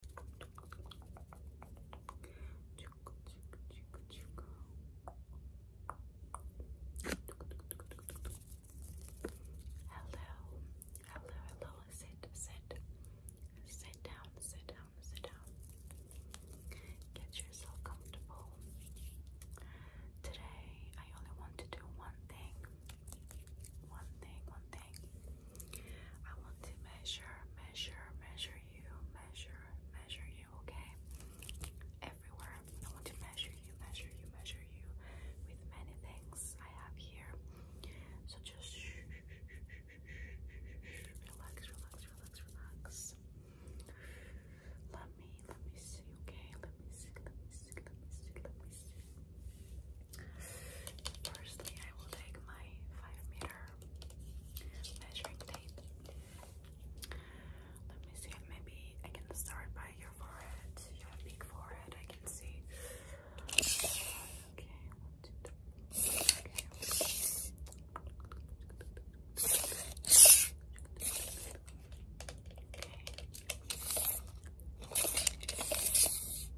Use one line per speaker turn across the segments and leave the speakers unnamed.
Hello, hello, hello. Sit, sit, sit down, sit down, sit down. Get yourself comfortable. Today, I only want to do one thing. One thing, one thing. I want to measure, measure, measure you, measure, measure you, okay? Everywhere. I want to measure you, measure you, measure you with many things I have here. So just relax, relax, relax, relax. Let me, let me see, okay? Let me see, let me see, let me see, let me see. Firstly, I will take my 5 meter measuring tape. Let me see, maybe I can start by your forehead. You big forehead, I can see. Okay.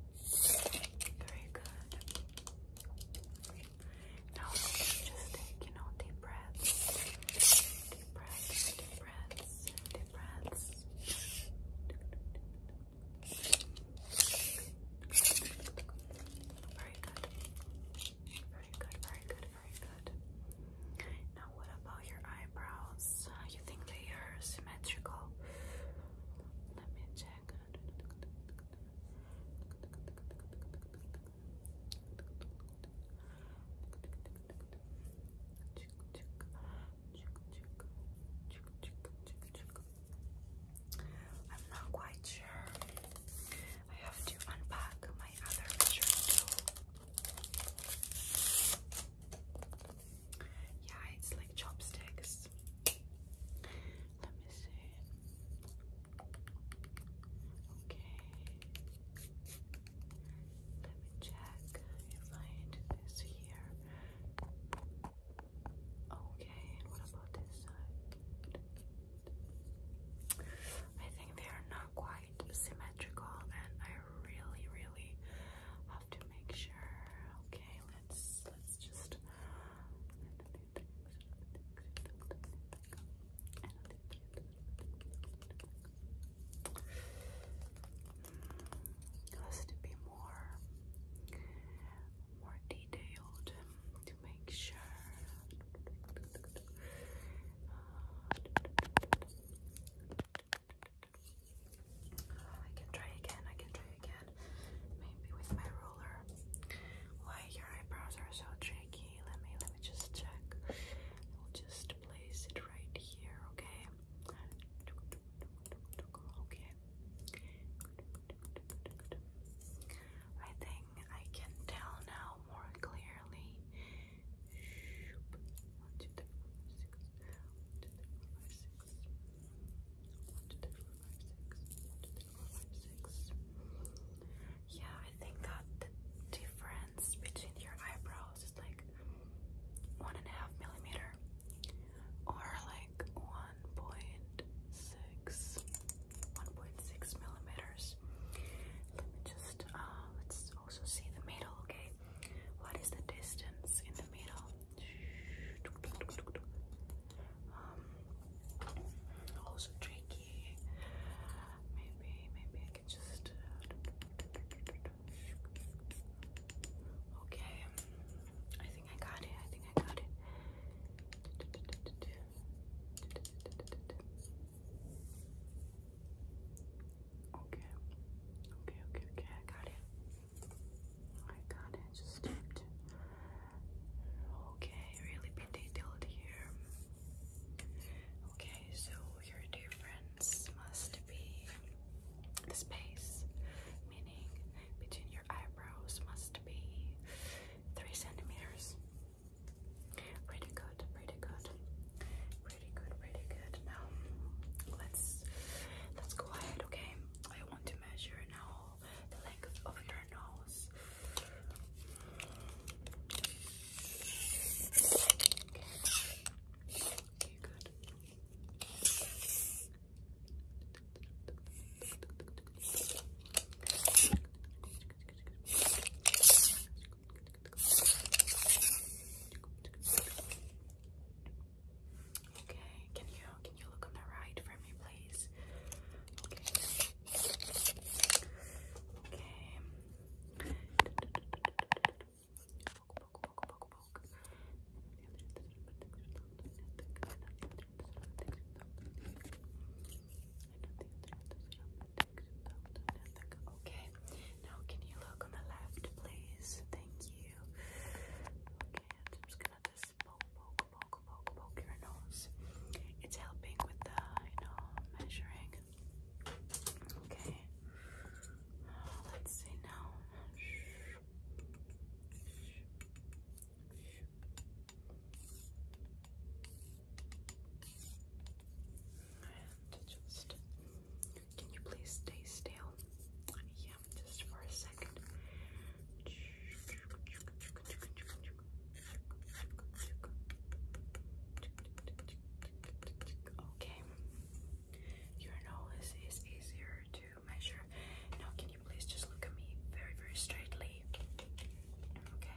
Very good. Now just take, you know, deep breaths. Deep breaths, deep breaths, deep breaths. Very good. Very good, very good, very good. Now what about your eyebrows? You think they are symmetrical? I'm not quite sure. I have to unpack my other shirt too. Yeah, it's like chopsticks. Let me see. Okay. Let me check if I this here. Okay, what about this side? I think they are not quite symmetrical, and I really, really to make sure. Okay, let's let's just. Has to be more, more detailed to make sure. Uh, I can try again, I can try again. Maybe with my ruler. Why your eyebrows are so tricky? Let me let me just check. I'll just place it right here, okay? Okay. I think I can tell now more clearly. Yeah, I think that the difference between your eyebrows is like one and a half millimeter or like one point six one point six millimeters. Let me just uh let's also see the middle, okay? What is the distance in the middle? Um, also tricky. Maybe, maybe I can just. Okay, I think I got it. I think I got it. Okay. Okay, okay, okay, I got it. I got it. Just have to Okay, really be detailed here. Okay, so your difference must be the space, meaning between your eyebrows must be three centimeters. Pretty good, pretty good pretty good, pretty good. Now let's let's go ahead, okay? I want to measure now the length of your nose. Okay, good. Okay, can you can you look on the right for me, please? Okay. Now can you look on the left, please? Thank you. Okay, I'm just gonna poke, poke, poke, poke, poke your nose. It's helping with the, you know, measuring. Okay. Uh, let's see now can you please stay still? Yeah, just for a second. Okay, your nose is easier to measure. Now, can you please just look at me very, very straightly? Okay,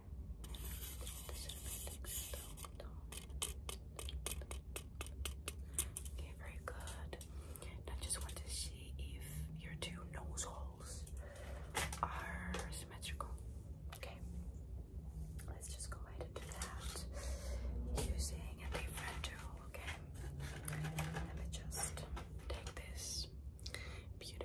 very good. Now just want to see if your two nose holes are symmetrical. Okay. Let's just go ahead and do that using a different tool, okay? Let me just take this beautiful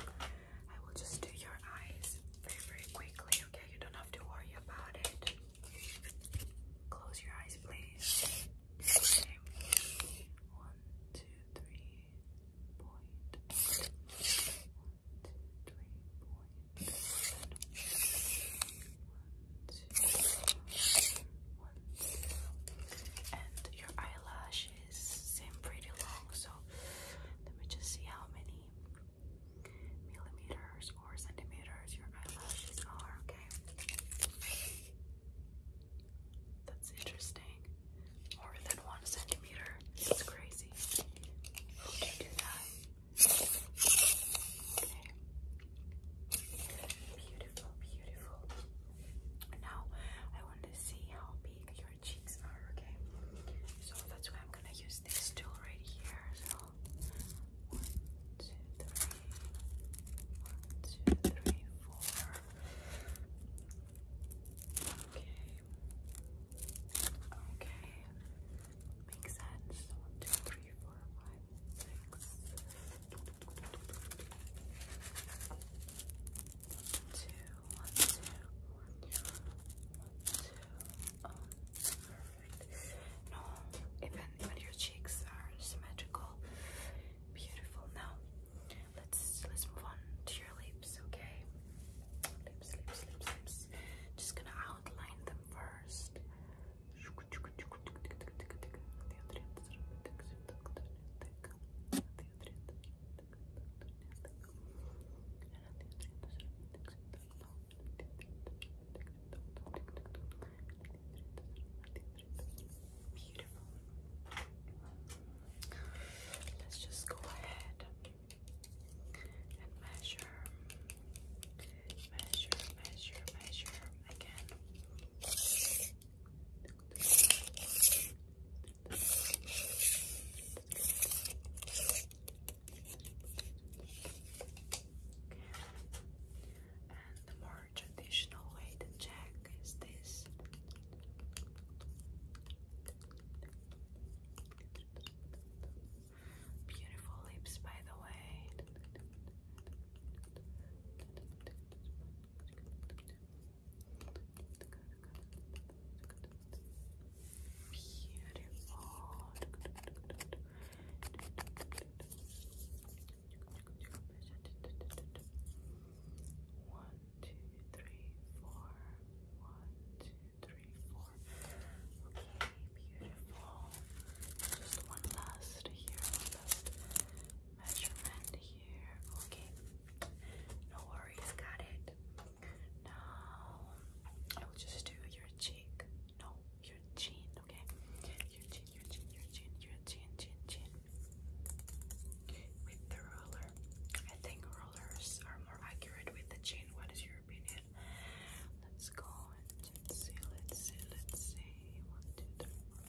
I will just do your eyes very very quickly, okay? You don't have to worry about it. Close your eyes please. One, two, three, One, two, three, One, two, one, two. And your eyelash lashes seem pretty long, so let me just see how many millimeters or centimeters your eyelashes are, okay? That's interesting. More than one centimeter. It's crazy. Okay. Beautiful, beautiful. Now I want to see how big your cheeks are, okay? So that's why I'm gonna use this tool right here. So one, two, three, one, two, three, four. Okay. Okay. Makes sense. One, two, three, four, five, six one, two, one, two. perfect. No, even even your cheeks are symmetrical. Beautiful. Now let's let's move on to your lips, okay? Lips, lips, lips, lips. Just gonna outline them first. Beautiful. Let's just go ahead and measure, measure, measure, measure again. And the more traditional way to check is this. Beautiful lips, by the way. One, two, three, four. One, two, three, four. Okay, beautiful. Just one last here, measurement here. Okay, no worries, got it. Now I will just do your cheek. No, your chin. Okay, your chin, your chin, your chin, your chin, chin, chin. With the roller, I think rollers are more accurate with the chin. What is your opinion? Let's go and see. Let's see. Let's see. One, two, three, four,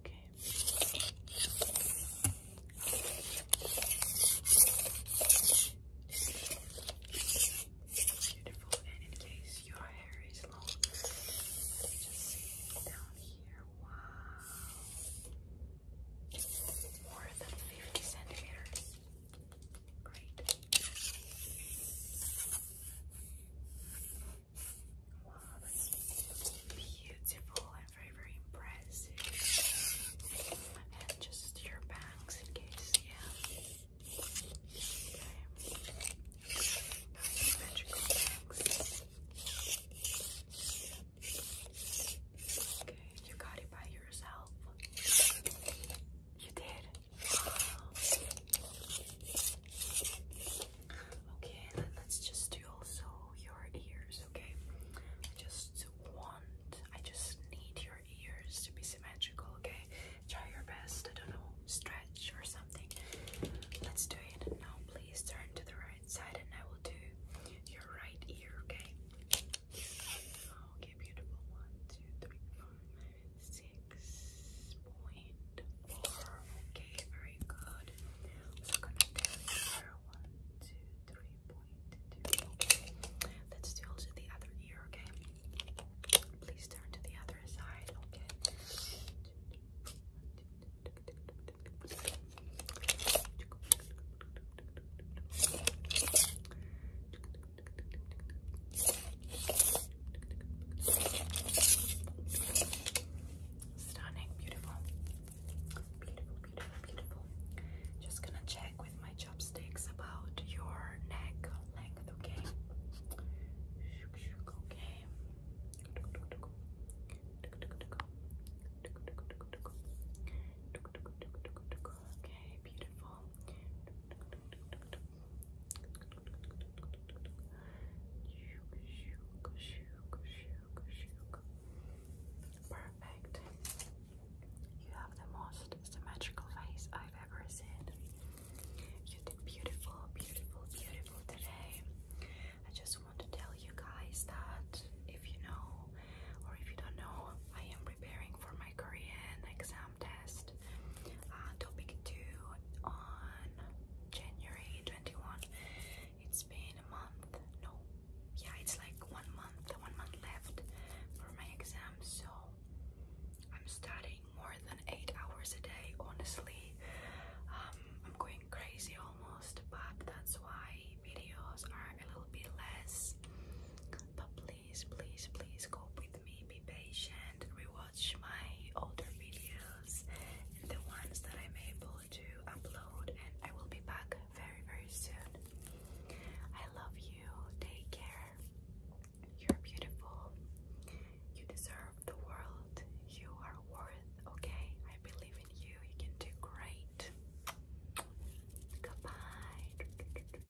Okay. Beautiful. And in case your hair is long, let me just see down here. Wow. More than 50 centimeters. Great beautiful and very, very impressive. And just your bangs in case, yeah. Okay, you got it by yourself. You did. Okay, let's just do also your ears, okay? I just want, I just need your ears to be symmetrical, okay? Try your best, I don't know, stretch or something. Let's do it. Now, please turn to the right side and I will do your right ear, okay? Okay, beautiful. One, two, three, four, five, six six point four. Okay, very good. So gonna tell one, two, three point two. Okay, let's do also the other ear. Okay, please turn to the other side. Okay, Stunning, beautiful. Beautiful, beautiful, beautiful. Just gonna check with my chopsticks about your neck length, okay? Okay. Okay, beautiful. Perfect. You have the most symmetrical face I've ever seen. You did beautiful, beautiful, beautiful today. I just want to tell you guys that if you know or if you don't know, I am preparing for my Korean exam test. Uh, topic 2 on January 21. It's been a month, no, yeah, it's like one month, one month left for my exam, so I'm studying more than 8 hours a day, honestly. Um, I'm going crazy almost, but that's why videos are a little bit less please, please, please cope with me. Be patient. Rewatch my older videos and the ones that I'm able to upload, and I will be back very, very soon. I love you. Take care. You're beautiful. You deserve the world. You are worth, okay? I believe in you. You can do great. Goodbye.